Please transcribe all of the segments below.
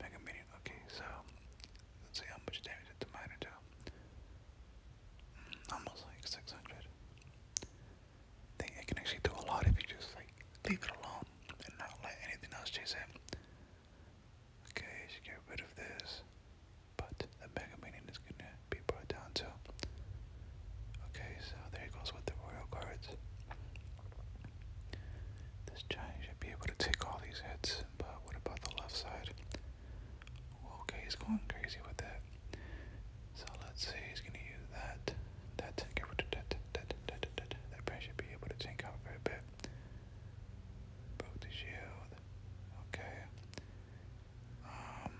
Mega Minion. Okay, so let's see how much damage the miner do. almost like 600. I think it can actually do a lot if you just like leave it alone and not let anything else chase it. Okay, get rid of this, but the Mega Minion is gonna be brought down too. Okay, so there goes with the royal cards. This giant should be able to take all these hits but what about the left side? Okay, he's going crazy with that. So let's see, he's gonna use that. That get rid should be able to take out for a bit. Broke the shield. Okay. Um,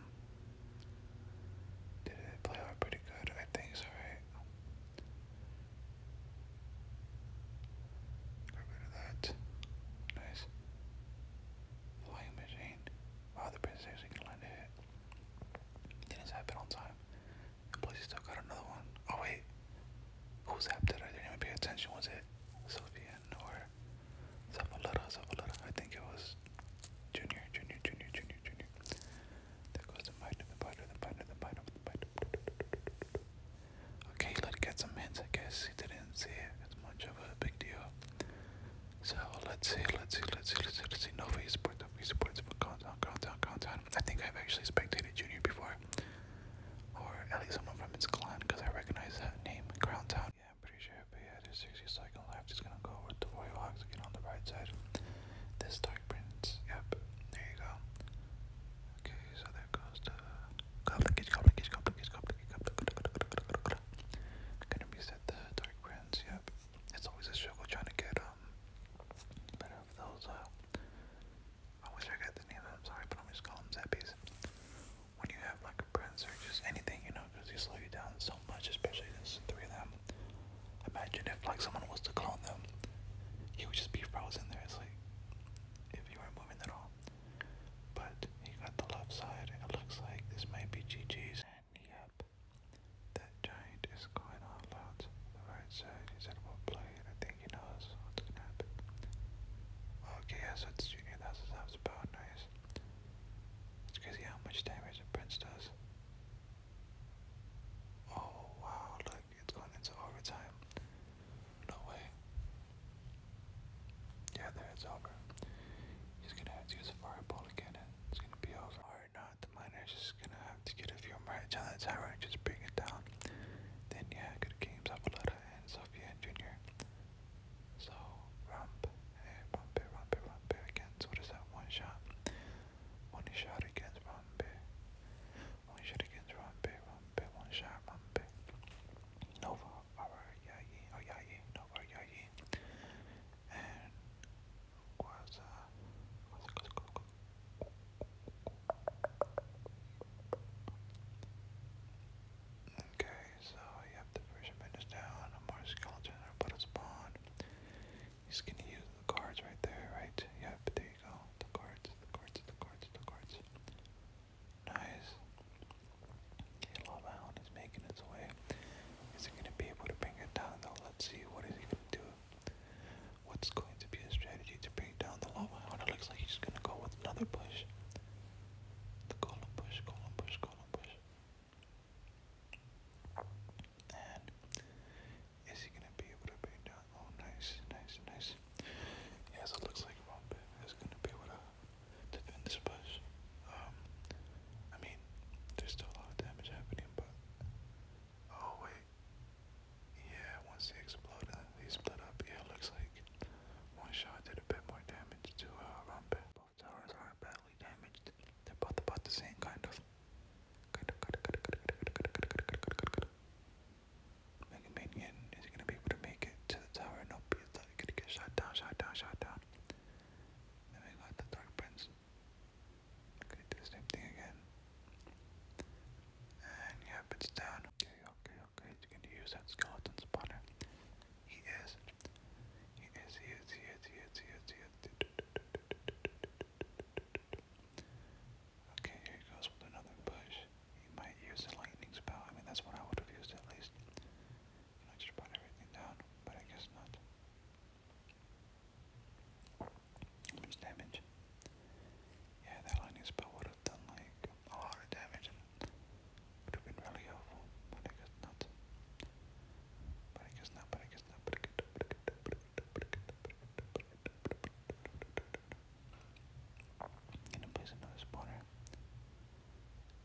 did it play out pretty good? I think so, right? Got rid that. Nice. Flying machine. Wow, the princess actually can land a hit. did on time. And plus, still got another one. Oh, wait. Who zapped it? I didn't even pay attention. Was it Sylvian or Zavaleta? Zavaleta. I think it was Junior, Junior, Junior, Junior, Junior. There goes the bite, the bite, the bite, the bite, the bite. Okay, let's get some hints. I guess he didn't see it. It's much of a big deal. So let's see, let's see, let's see, let's see, let's see. Nova esports, Nova esports, countdown, countdown, countdown. I think I've actually spectated Junior before, or at least someone from his clan, because I recognize that name, Crowntown. Yeah, I'm pretty sure. But yeah, there's 60 seconds left. He's gonna go with the Royal Hawks again on the right side. This Dark Prince. Yep, there you go. Okay, so there goes the complicated, complicated, complicated, complicated, complicated. Gonna reset the dark brands. Yep, it's always a struggle trying to get um better of those. Uh, I wish I got the name. I'm sorry, but I'm just calling them zappies. When you have like a brand or just anything, if you were moving at all. But he got the left side. It looks like this might be GG's. Yep. That giant is going all out to the right side. He's at about play, and I think he knows what's gonna happen. Okay, yeah, so it's junior thousand about nice. It's crazy how much damage the prince does. Oh wow, look it's going into overtime. No way. Yeah, there it's over. He's gonna have to use a fireball again and it's gonna be over. Alright, now the miner's just gonna have to get a few more hits on and just bring it down. Then, yeah, good games, Avaletta and Sophia and Junior. So, Rump, hey, eh, Rumpe, Rumpe, Rumpe against, what is that, one shot? One shot against Rumpe. Eh one shot against Rumpy, Rumpy, one shot Rumpy. Nova over Yayi, or Yayi, Nova Yayi. And was uh was it called? Okay, so yep, the version is down, a more skeleton, I put a spawn. He's gonna use the cards right there, right? Yep, there you go. The cards, the cards, the cards, the cards. Nice. Okay, Love Hound is making its way. Is it going to be able to bring it down Let's see. What is he going to do? What's going to be his strategy to bring down the Love Hound? It looks like he's going to go with another push. The golem push, golem push, golem push. And is he gonna be able to bait down? Oh, nice, nice, nice. Yeah, it looks like Rompe is gonna be able to defend this push. Um, I mean, there's still a lot of damage happening, but oh wait, yeah. Once they explode, they split up. Yeah, looks like one shot did a bit more damage to uh, Both towers are badly damaged. They're both about the same kind of. Mega Minion, is he gonna be able to make it to the tower and not be that gonna get shot down, shot down, shot down? Then we got the Dark Prince. Gonna do the same thing again. And yep, it's down. Okay, okay, okay. He's gonna use that skeleton spawner. He is. He is, he is, he is, he is, he is, he is. Okay, here he goes with another push. He might use the lightning spell. I mean, that's what I would have used at least. And I just brought everything down, but I guess not. Much damage. Yeah, that lightning spell would have done like a lot of damage would have been really helpful, but I guess not, but I guess not, but I guess not, but I guess not, but I guess not, but I guess not Gonna place another spawner.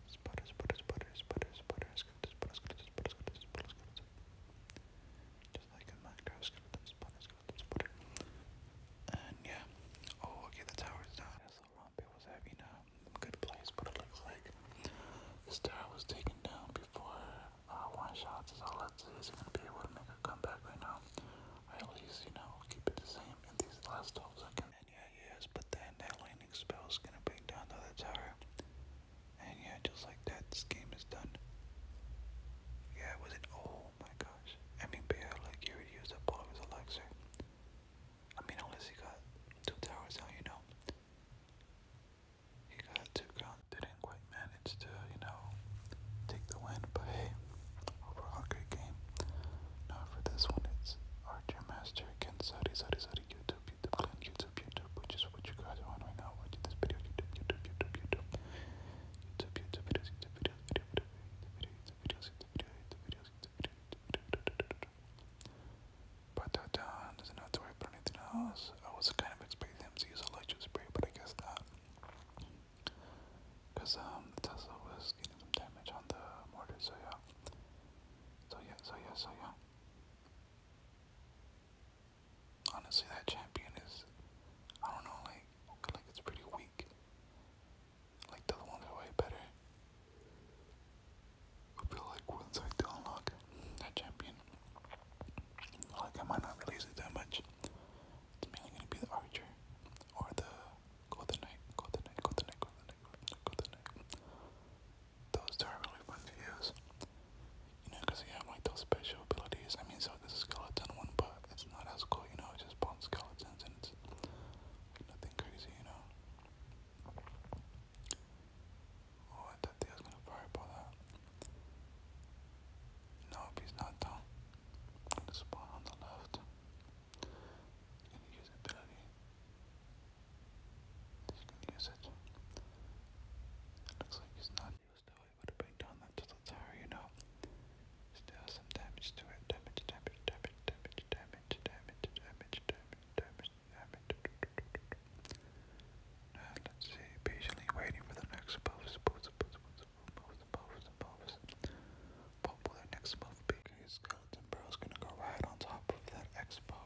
Spotter, spotter, spotter, spotter, spotter, skeleton, spotter, skeleton, spotter, skeleton, spotter, skeleton. Just like in Minecraft, skeleton, spotter, skeleton, And yeah. Oh, okay, the tower's down. That's all wrong. It was having a good place, but it looks like this tower was taken down before uh, one shots is all that's is gonna be able to make a comeback right now. at least, you know, keep it the same in these last 12 seconds. And yeah, yes, but then that lightning spell is gonna bring down the other tower. And yeah, just like that, this game is done. Yeah, was it? Oh my gosh. I mean, Bear, like, he already used up all of his elixir. I mean, unless he got two towers out, you know. He got two ground didn't quite manage to, you know, take the win, but hey, overall great game. Now for this one, it's Archer Master against Saudi, Saudi, Saudi, YouTube, YouTube, Clan, YouTube, YouTube, which is what you guys are on right now, watching this video, YouTube, YouTube, YouTube, YouTube, YouTube, YouTube, videos, YouTube, videos, video, video, video, YouTube, videos, YouTube, videos, YouTube, videos, YouTube, videos, YouTube, videos, but that down doesn't have to worry about anything else. I was kind of expecting him to use a electric spray, but I guess not. Because um, the Tesla was getting some damage on the mortar, so yeah. So yeah, so yeah, so yeah. Honestly, that champion is, I don't know, like, like it's pretty weak. Like the one ones way better. I feel like once I do unlock that champion, like I might not release it that much. It's mainly gonna be the archer or the go knight, go knight, go knight, go knight, go knight, Those two are really fun to use. You know, because have like those special abilities. I mean, so this skeleton one, but it's not as cool, you know, just spawns skeletons and nothing crazy, you know. Oh, I thought they was gonna fireball that. Nope, he's not done. Gonna on the left. He's going use it. looks like he's not used though. He would have been done that to the tower, you know. Still some damage to it. Damage, damage, damage, damage, damage, damage, damage, damage, damage, damage. damage. And let's see, patiently waiting for the next post, post, post, post, post, post, post. What will the next move be? Okay, Skeleton Bro's gonna go right on top of that expo.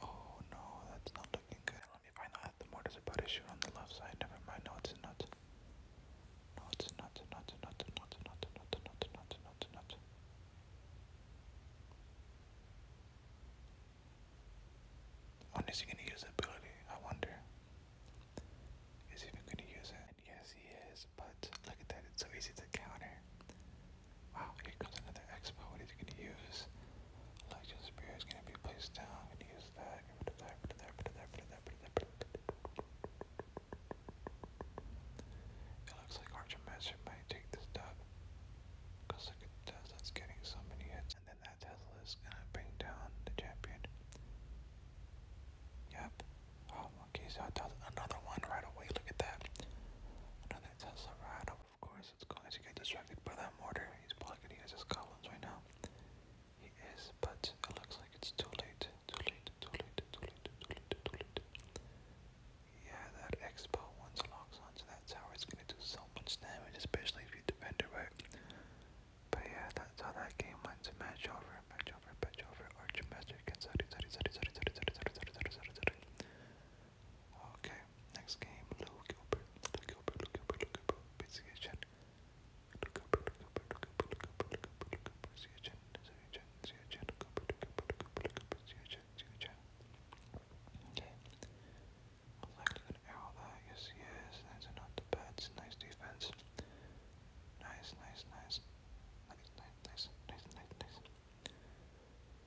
Oh no, that's not looking good. Let me find out the mortars about to shoot on the left side. Never mind, no, it's not. No, it's not, not, not, not, not, not, not, not, not, not. When is he gonna use the ability? I wonder. Is he even gonna use it? Yes, he is, but look at that, it's so easy to counter. Wow, here comes another expo. What is he gonna use? Election Spear is gonna be placed down. i use that. It looks like Archer might take this dub. Because look at that, that's getting so many hits and that Tesla is gonna bring down the champion. Yep. Oh, okay, so I does another one right away. Look at that. Another Tesla right up. Of course, it's going to get distracted by that mortar. He's blocking. He has his right now. He is, but it looks like it's too late. Too late. Too late. Too late. Too late. Too late. Yeah, that expo once locks onto that tower, it's gonna do so much damage, especially if you defend it right it. But yeah, that's how that game went. match over, match over, match over. Archmaster against Sadi, Sadi, Sadi, Sadi, Sadi, Sadi, Sadi, Sadi, Sadi, Sadi, Sadi. Okay, next game, Lou Gilbert, Lou Gilbert, Lou Gilbert, Lou Gilbert, Pizzagation. Lou Gilbert, Lou Gilbert, Lou Gilbert, Lou Gilbert, Lou Gilbert, Lou Gilbert, Pizzagation, Pizzagation, Pizzagation, Lou Gilbert, Lou Gilbert, Lou Gilbert, Lou Gilbert, Pizzagation, Pizzagation. Okay. Deflecting an arrow there, yes he is. That's enough to Nice defense. Nice, nice, nice. Nice, nice, nice, nice, nice, nice.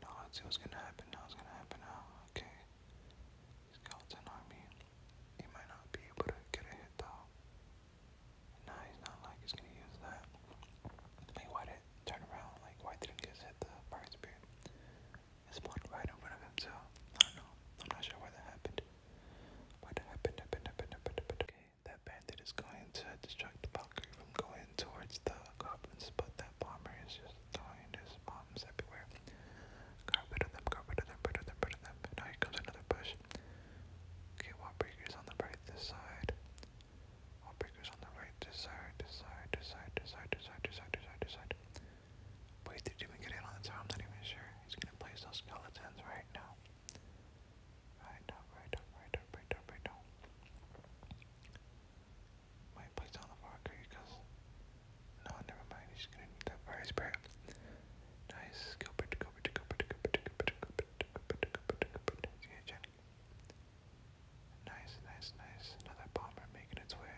Now let's see what's gonna happen now. What's gonna happen now? Okay. Skeleton army. He might not be able to get a hit though. Nah, he's not like he's gonna use that. Like why it turn around? Like why didn't he just hit the fire spear? It's spawned right in front of him, so I don't know. I'm not sure why that happened. What happened, happened, happened, happened, happened. Okay, that bandit is going to distract the Valkyrie from going towards the goblins, but that bomber is just throwing his bombs everywhere. Got them, got them, rid them, rid them. now here comes another push. Okay, Wallbreaker's on the right this side. Wallbreaker's on the right this side, side, side, side, side, side, side, side. Wait, did Jimmy get in on the I'm not even sure. He's gonna place those skeletons right now. Right now, right up, right up, right up, right down. Might place on the marker because no, never mind. He's gonna need that fire spirit. Nice. Go put, go put, go put, go put, go put, go put, go put, go put, go put. Nice, nice, nice. Another bomber making its way.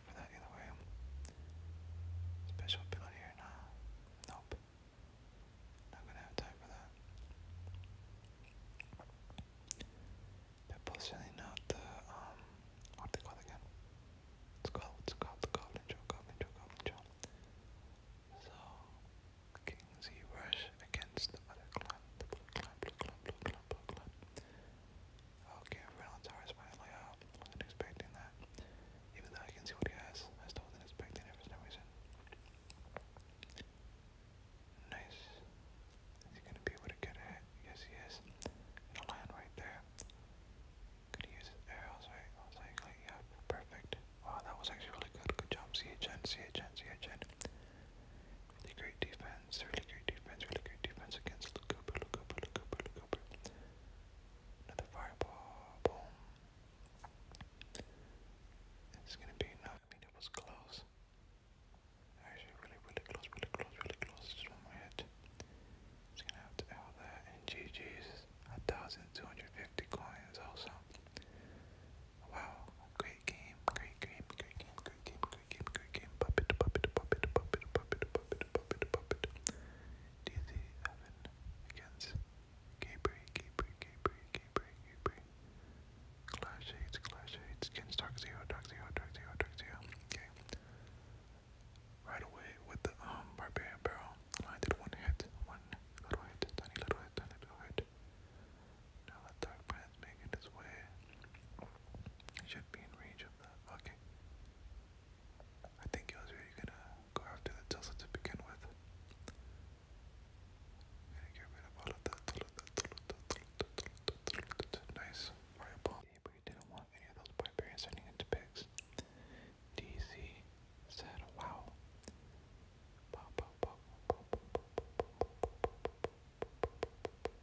for that either way. Special ability here, nah. Nope. Not gonna have time for that. Pipple's not the, um, what they call again? It's called, it's called the Goblin Joe, Goblin Joe, Goblin Joe. So, King Z Rush against the other clan, the blue clan, blue clan, blue clan, blue clan. Okay, Reynolds Tower is finally up. Wasn't expecting that. Even though I can see what he has, I still wasn't expecting it for some reason. Nice. Is he gonna be able to get it? Yes, he is. Gonna land right there. Could he use his arrows, right? I was like, like, yeah, perfect. Wow, that was actually really good. Good job, CHN, CHN, CHN. Really great defense defense, really great defense, really great defense against Lukuba, Lukuba, Lukuba, Lukuba. Another fireball, boom. It's gonna be enough. I mean, it was close. Actually, really, really close, really close, really close. Just one more hit. Just gonna have to L that. And GG's, 1,250 coins also. Wow, great game, great game, great game, great game, great game, great game. Puppet, puppet, puppet, puppet, puppet, puppet, puppet, puppet. DZ Evan against Gabriel, Gabriel, Gabriel, Gabriel, Gabriel. Clash Shades, Clash Shades against Dark Zero, Dark Zero, Dark Zero, Dark Zero. Okay. Right away with the um barbarian barrel. I one hit, one little hit, tiny little hit, tiny little hit. Now let Dark making its way. should be in range of the. Okay. I think he was really gonna go after the Tulsa to begin with. I'm gonna get rid of all of the Nice. Fireball. But you didn't want any of those barbarians turning into pigs. DC said, wow.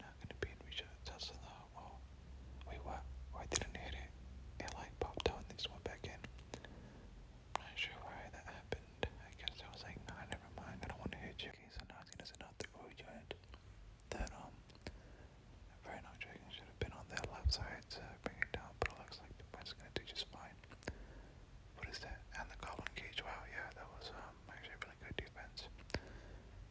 Not gonna be in reach of the Well, wait, what? Why didn't hit it? It like popped out and just went back in. not sure why that happened. I guess I was like, nah, never mind. I don't want to hit you. Okay, so now it's gonna enough to go yet. That um, very not dragon should have been on that left side to down, but it looks like the punch gonna do just fine. What is that? And the goblin cage. Wow, yeah, that was um actually really good defense.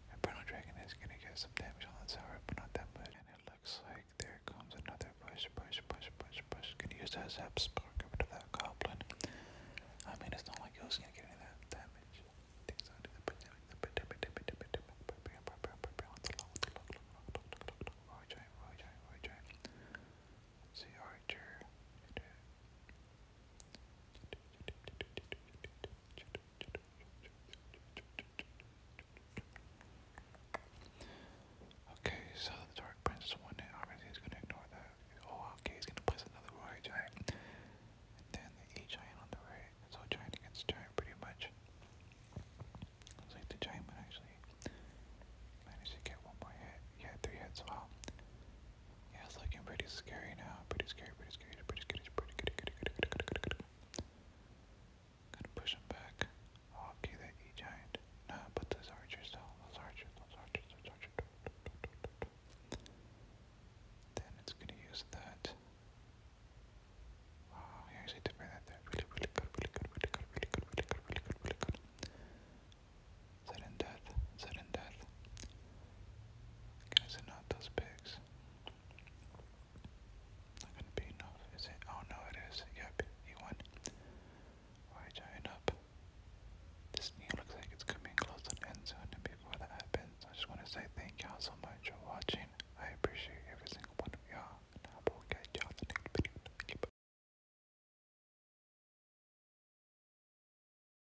Inferno Dragon is gonna get some damage on the tower, but not that much. And it looks like there comes another push, push, push, push, push. Gonna use that Zap Spark, get rid of that Goblin. I mean, it's not like it was gonna get that damage. Things under Okay, so the Dark Prince one that obviously is gonna ignore that. Oh okay, he's gonna place another Roy Giant. And then the E giant on the right. So giant against giant pretty much. Looks like the giant would actually managed to get one more hit. Yeah, three hits, wow. Yeah, it's looking pretty scary now. Pretty scary, pretty scary, pretty scary, pretty scary. Gotta push him back. okay, oh, that E giant. Nah, but those archers down. Those archers, those archers, those archers. Then it's gonna use that. Wow, he actually did bring that there. Really, really good, really good, really good, really good, really good, really good, really good. Sudden death, sudden death. Guys are not those pigs. Not gonna be enough, is it? Oh no it is. Yep, he won. Why giant up? This knee looks like it's coming close to the end zone before that happens, I just wanna say thank y'all so much for watching. I appreciate every single one of y'all and I will catch y'all the next video. Yep.